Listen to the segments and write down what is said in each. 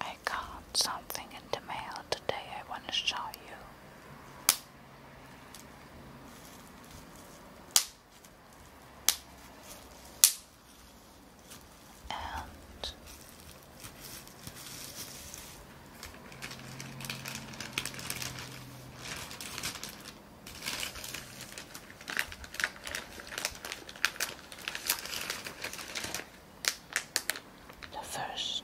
I got something in the mail today I want to show you. And the first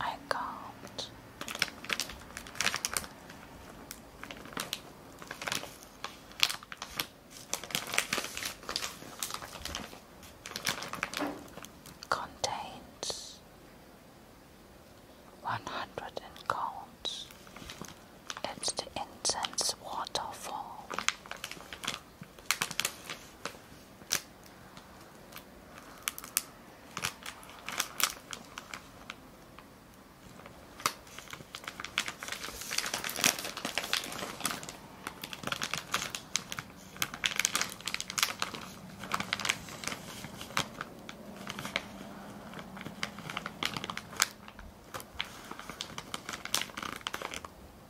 I count contains one hundred and count. It's the incense waterfall.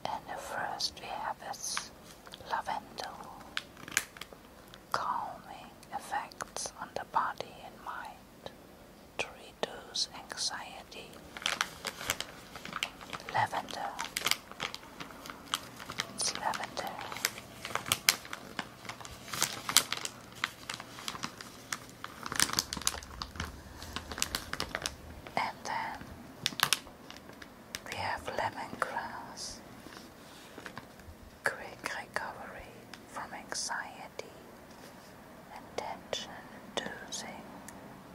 And the first we have is lavender, calming effects on the body and mind to reduce anxiety. Lavender, lavender. And then we have lemon grass, quick recovery from anxiety and tension-inducing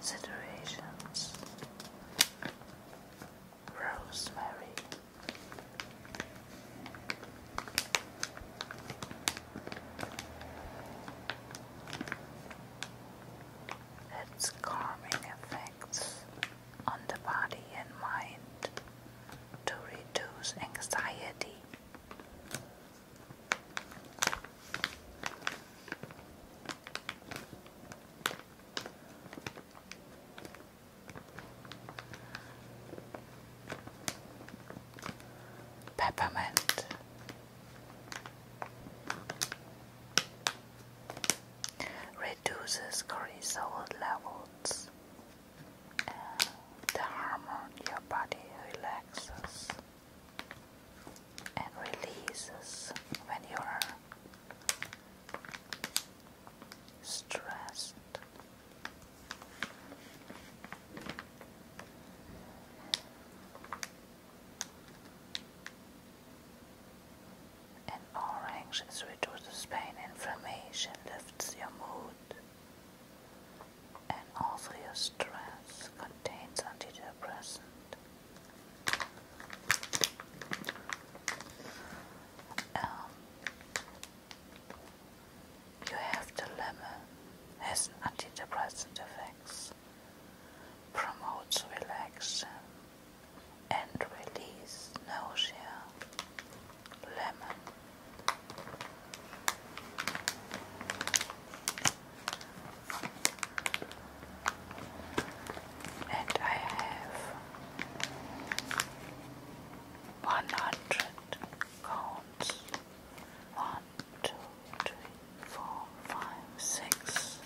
situations. Rosemary its calming effects on the body and mind to reduce anxiety peppermint. Reduces cortisol levels. Uh, the hormone your body relaxes and releases when you are stressed. An orange reduces pain, inflammation, lifts your mood, and all your stress contains antidepressant. Um, you have the lemon has antidepressant effects, promotes relaxation and release nausea. Lemon. And I have one hundred counts. One, two, three, four, five, six.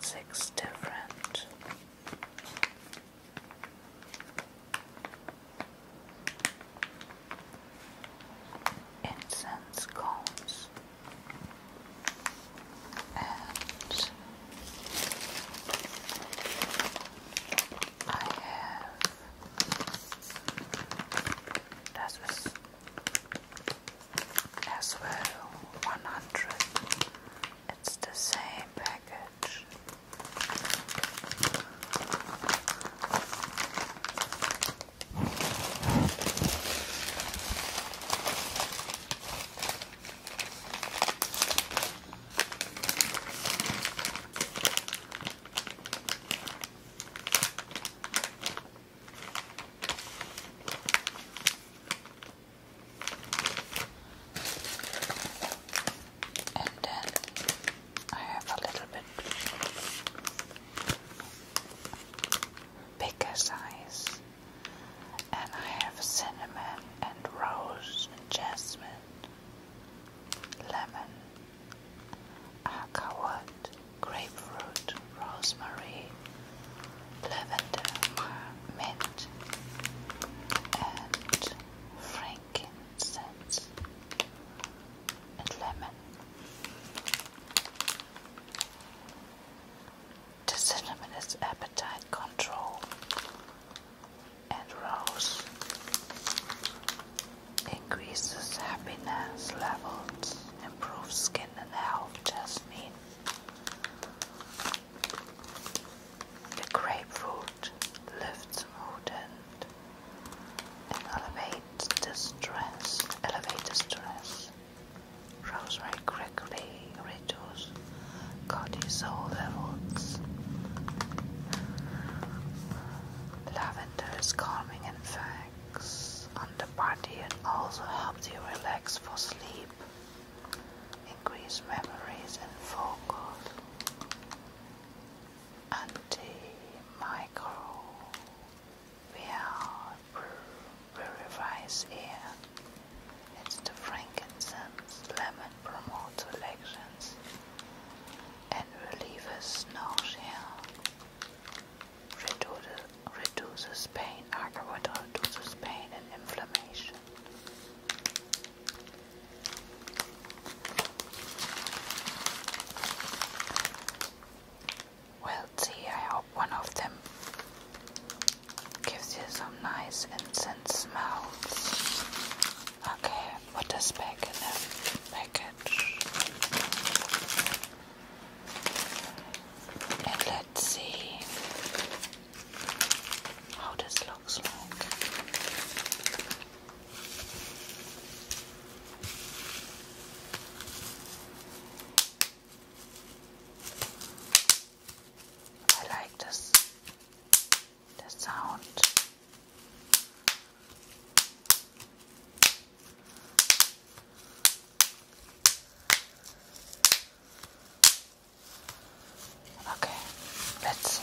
Six different incense cones and I have that was as well 100 it's the same package and then I have a little bit bigger size and I have cinnamon and rose and jasmine, lemon, acawood, grapefruit, rosemary, lavender, mint, and frankincense and lemon. The cinnamon is appetite control and rose increases happiness levels, improves skin and health, jasmine. The grapefruit lifts mood and, elevates the stress, elevate the stress. Rosemary quickly reduces cortisol levels. Lavender is calming and facts on the body and also helps you relax for sleep, increase memories and focus. Antimicrobial purifies air. It's the frankincense, lemon promote elections and relieves nausea, reduces, reduces pain, aquawater reduces pain and inflammation. Well, see, I one of them gives you some nice incense smells. Okay, put this back in the package. And let's see how this looks like. I like this, the sound. Okay, let's see.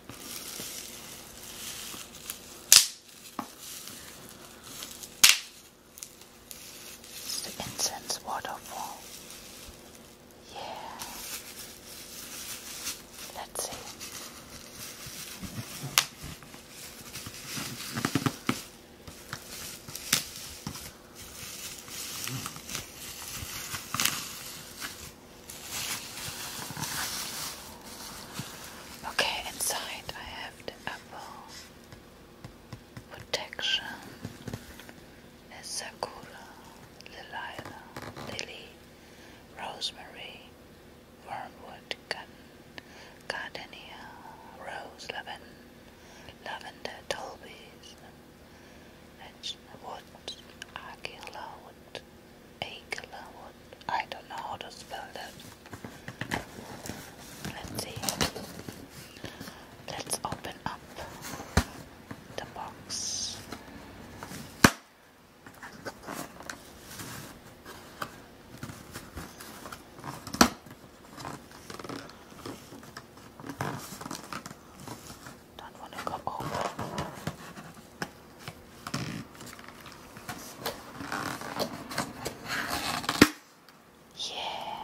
the incense waterfall. Yeah. Let's see. Okay, inside I have the apple protection, the sakura, lilac, lily, rosemary, wormwood, gardenia, rose, lavender, lavender, tolbies, and wood, archila wood. Akelawon. I don't know how to spell that. Let's see. Let's open up the box. Don't want to go over. Yeah.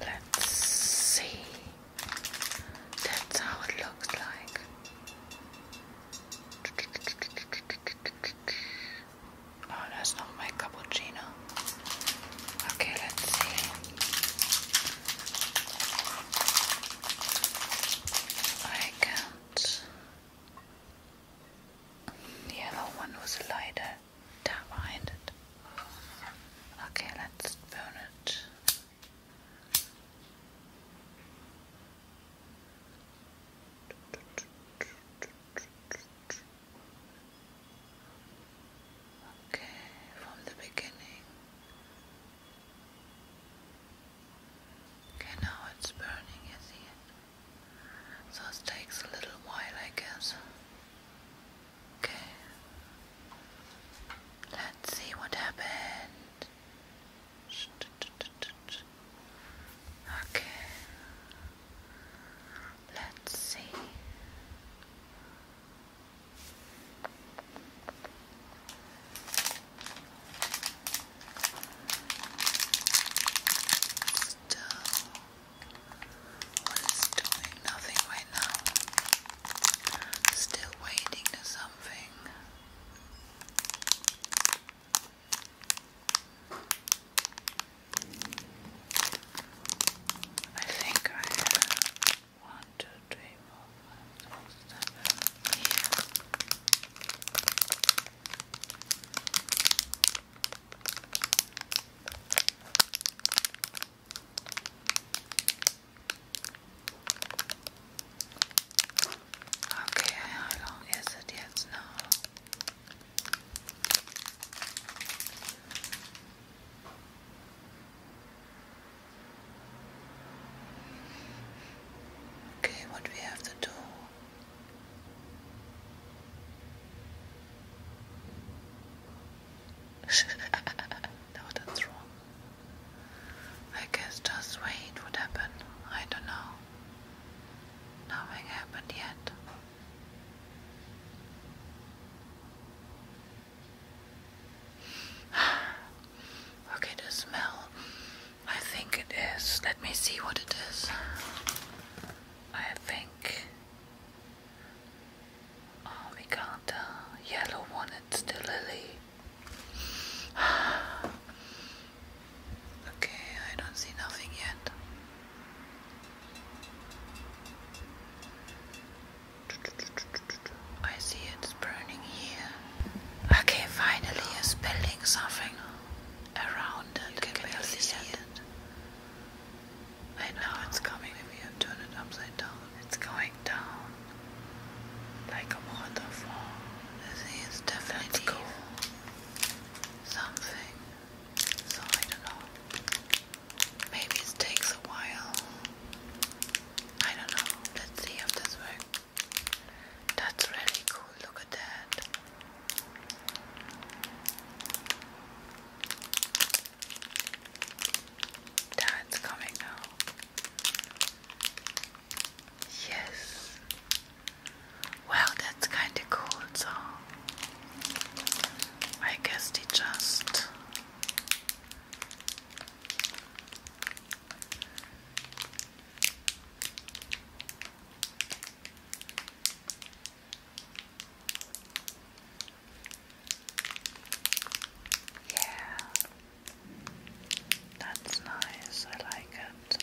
Let's see. That's how it looks like. Oh, that's not my cappuccino. Okay, let's see. I can't. The other one was lighter down it. Okay, let's burn it. Okay, from the beginning. Okay, now it's burning, you it. So it takes a little while, I guess. Okay. Let's see what happened. Okay. Let's see. Still was doing nothing right now. Still waiting to something. I think I have one, two, three here. Okay, how long is it yet now? Okay, what do we have to do? no, wrong. I guess just wait what happened. I don't know. Nothing happened yet. okay, the smell. I think it is. Let me see what it is. I think Oh, we got the yellow one, it's the lily. okay, I don't see nothing yet. I see it's burning here. Okay, finally it's building something around it. can, barely see, it. I know it's coming if you turn it upside down. It's going down like a waterfall. This is definitely cool. something. So I don't know. Maybe it takes a while. I don't know. Let's see if this works. That's really cool. Look at that. Dad's coming now. Yes. Well, that's kinda cool, so I guess they just yeah, that's nice. I like it.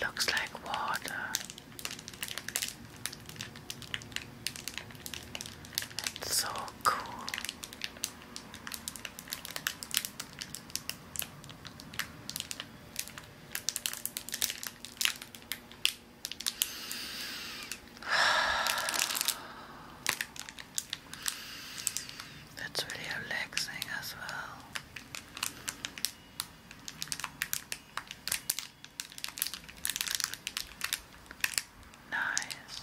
Looks like water. so cool. That's really relaxing as well. Nice.